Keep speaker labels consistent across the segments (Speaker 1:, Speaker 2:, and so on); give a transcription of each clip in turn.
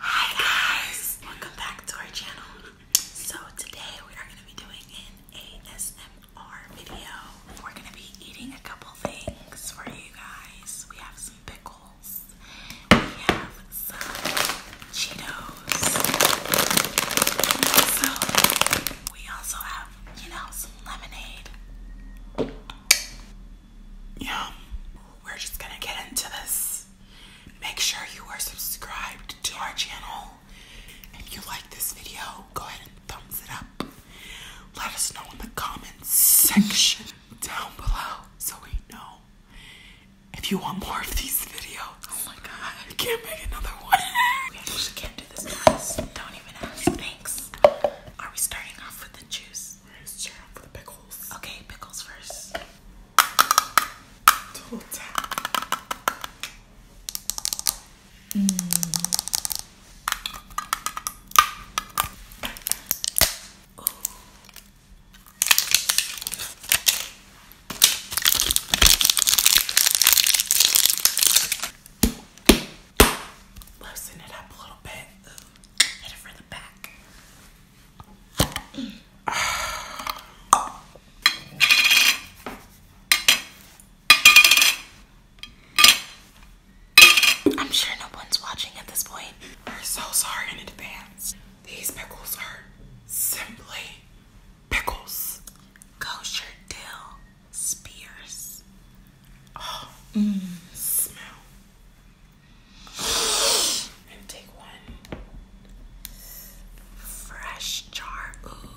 Speaker 1: Hi guys, welcome back to our channel. So today we are going to be doing an ASMR video. We're going to be eating a couple things for you guys. We have some pickles. We have some Cheetos. So we also have you know, some lemonade. Yeah, we're just gonna get into this. Make sure you are subscribed to our channel. If you like this video, go ahead and thumbs it up. Let us know in the comments section down below so we know if you want more of these videos. Oh my god, I can't make another one do this class. Don't even ask. Thanks. Are we starting off with the juice? We're starting the pickles. Okay,
Speaker 2: pickles first. Double tap. Mm. Loosen it up a little bit. hit it for the back. I'm sure no one's watching at this point. We're so sorry in advance. These pickles are simply pickles. Kosher dill Spears. Oh, mm. smell. And take one. Fresh jar. Ooh.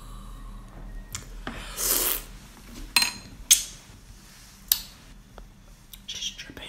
Speaker 2: dripping.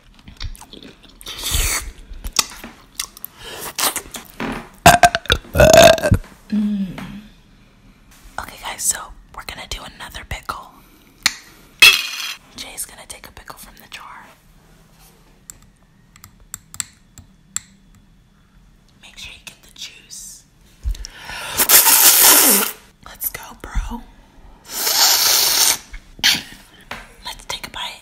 Speaker 2: Mm. Okay, guys, so we're gonna do another pickle. Jay's gonna take a pickle from the jar. Make sure you get the juice. Let's go, bro. Let's take a bite.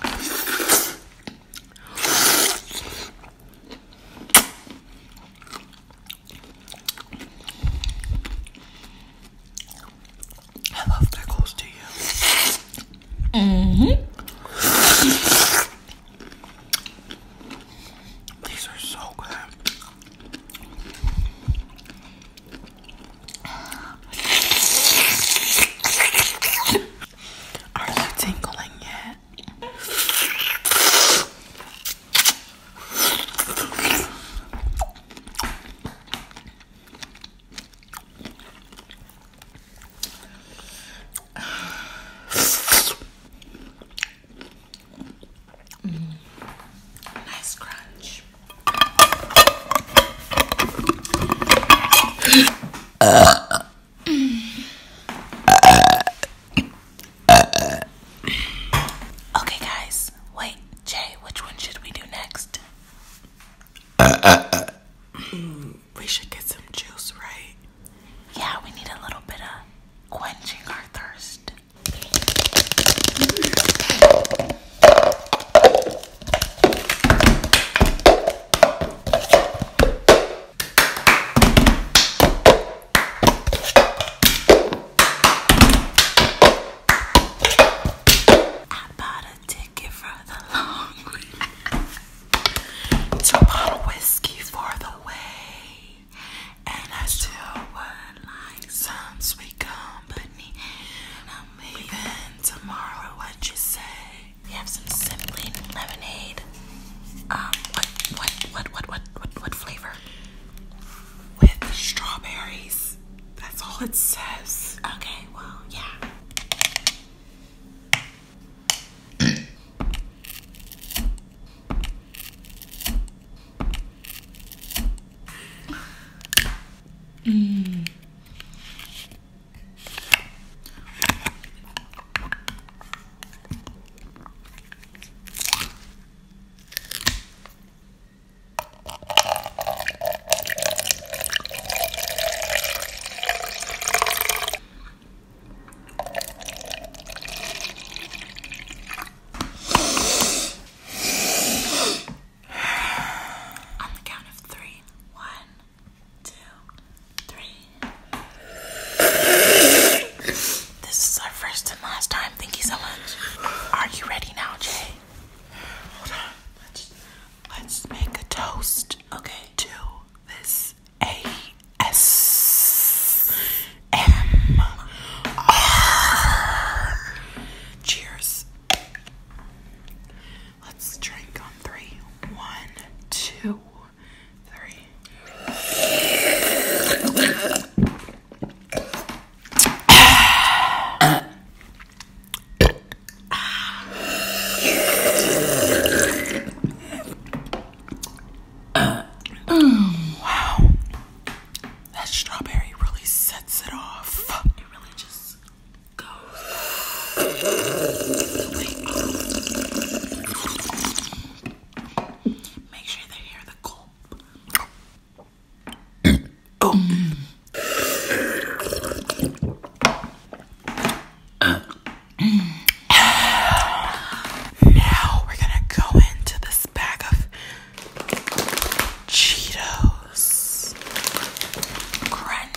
Speaker 2: I love pickles, do you? Mm hmm. These are so good. Are you tingling yet? Mm. Nice crunch.
Speaker 1: Uh okay, guys. Wait, Jay, which one should we do next? we should get some juice, right? Yeah, we need a little bit of quenching our thirst. I bought a ticket for the long way to bottle whiskey for the way, and I still would like some sweet company. I'm leaving tomorrow. What you say? We have some Simply lemonade. Um, what, what, what, what, what, what flavor? With strawberries. That's all it says. Okay, well, yeah. Mmm. On the count of three. One, two, three. This is our first and last time. Thank you so much. Are you ready now, Jay? Let's, make a toast. Okay. To this A S M R. Cheers. Let's drink on three. One, two, three. wow. That strawberry really sets it off. It really just go. Make sure they hear the gulp. now we're gonna go into this bag of Cheetos. Crunch.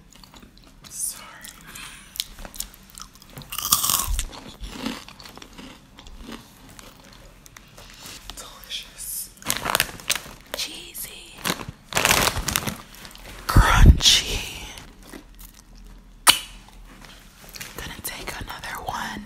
Speaker 2: Sorry. Delicious. Cheesy. Crunchy. Gonna take another one.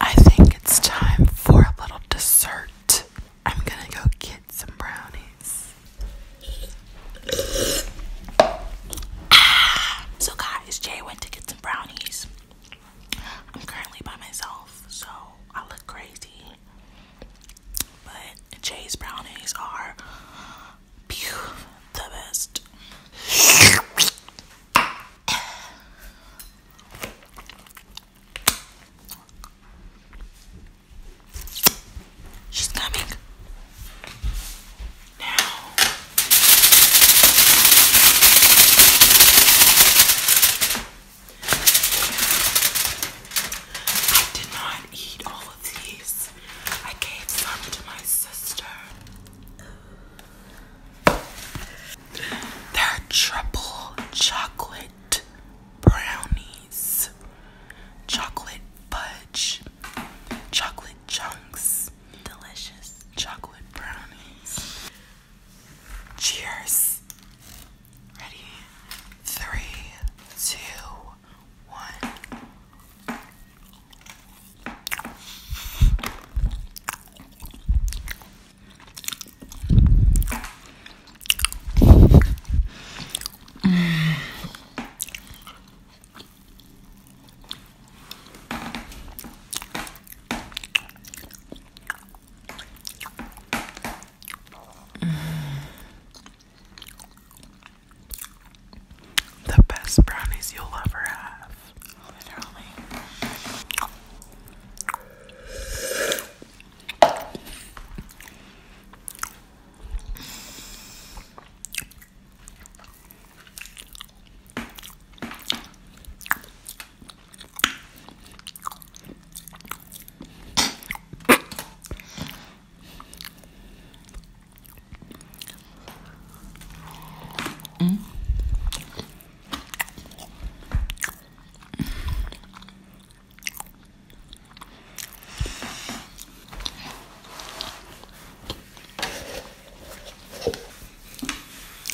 Speaker 2: I think it's time for a little dessert.
Speaker 1: I'm gonna go get some brownies. Ah, so, guys, Jay went to get some brownies. I'm currently by myself, so I look crazy. But Jay's brownies are the best. She's coming. Now. I did not eat all of these. I gave some to my sister. They're triple chocolate brownies, chocolate fudge, chocolate chunks, delicious chocolate brownies. Cheers. Ready? Three, two, one. The best brownies
Speaker 2: you'll ever have literally.
Speaker 1: Mm.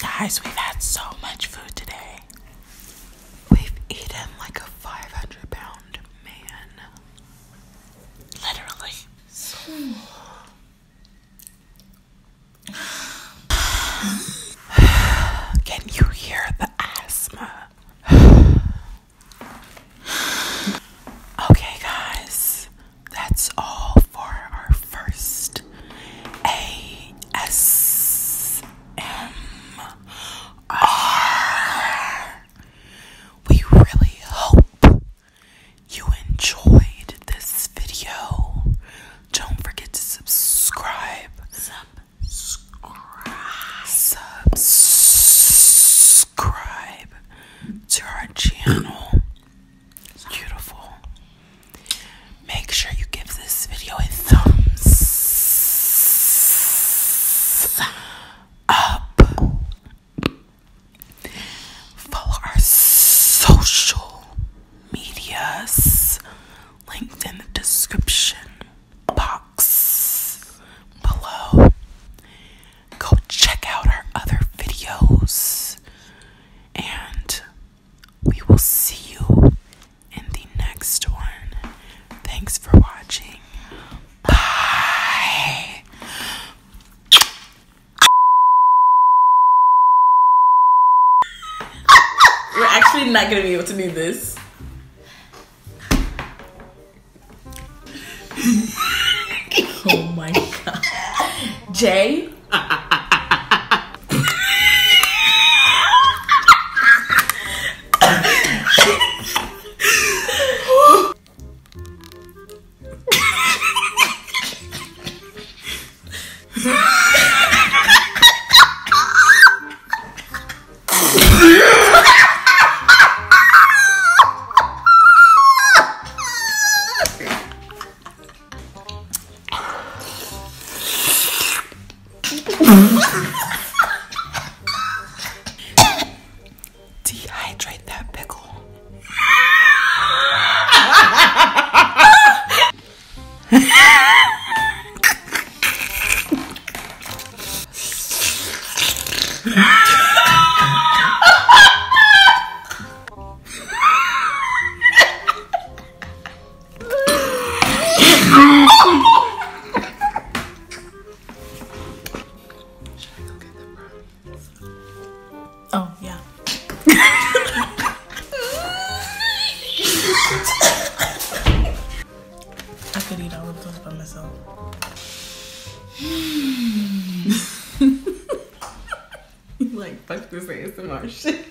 Speaker 1: Guys, we've had so much food today. We've eaten like a 500 pound man.
Speaker 2: Literally.
Speaker 1: Can you hear the asthma? okay, guys, that's all for our first ASMR. We really hope you enjoyed this video, don't forget to subscribe. Subscribe. to our channel. It's beautiful. Make sure you give this video a thumbs up. Follow our social medias linked in the description box below. Go check out our other videos, and we will see you in the next one. Thanks for watching. Bye. We're actually not gonna be able to do this. oh my god. Jay?
Speaker 2: Dehydrate that pickle. Should I go get them, bro?
Speaker 1: Oh, yeah. I could eat all of those by myself. like, fuck this ASMR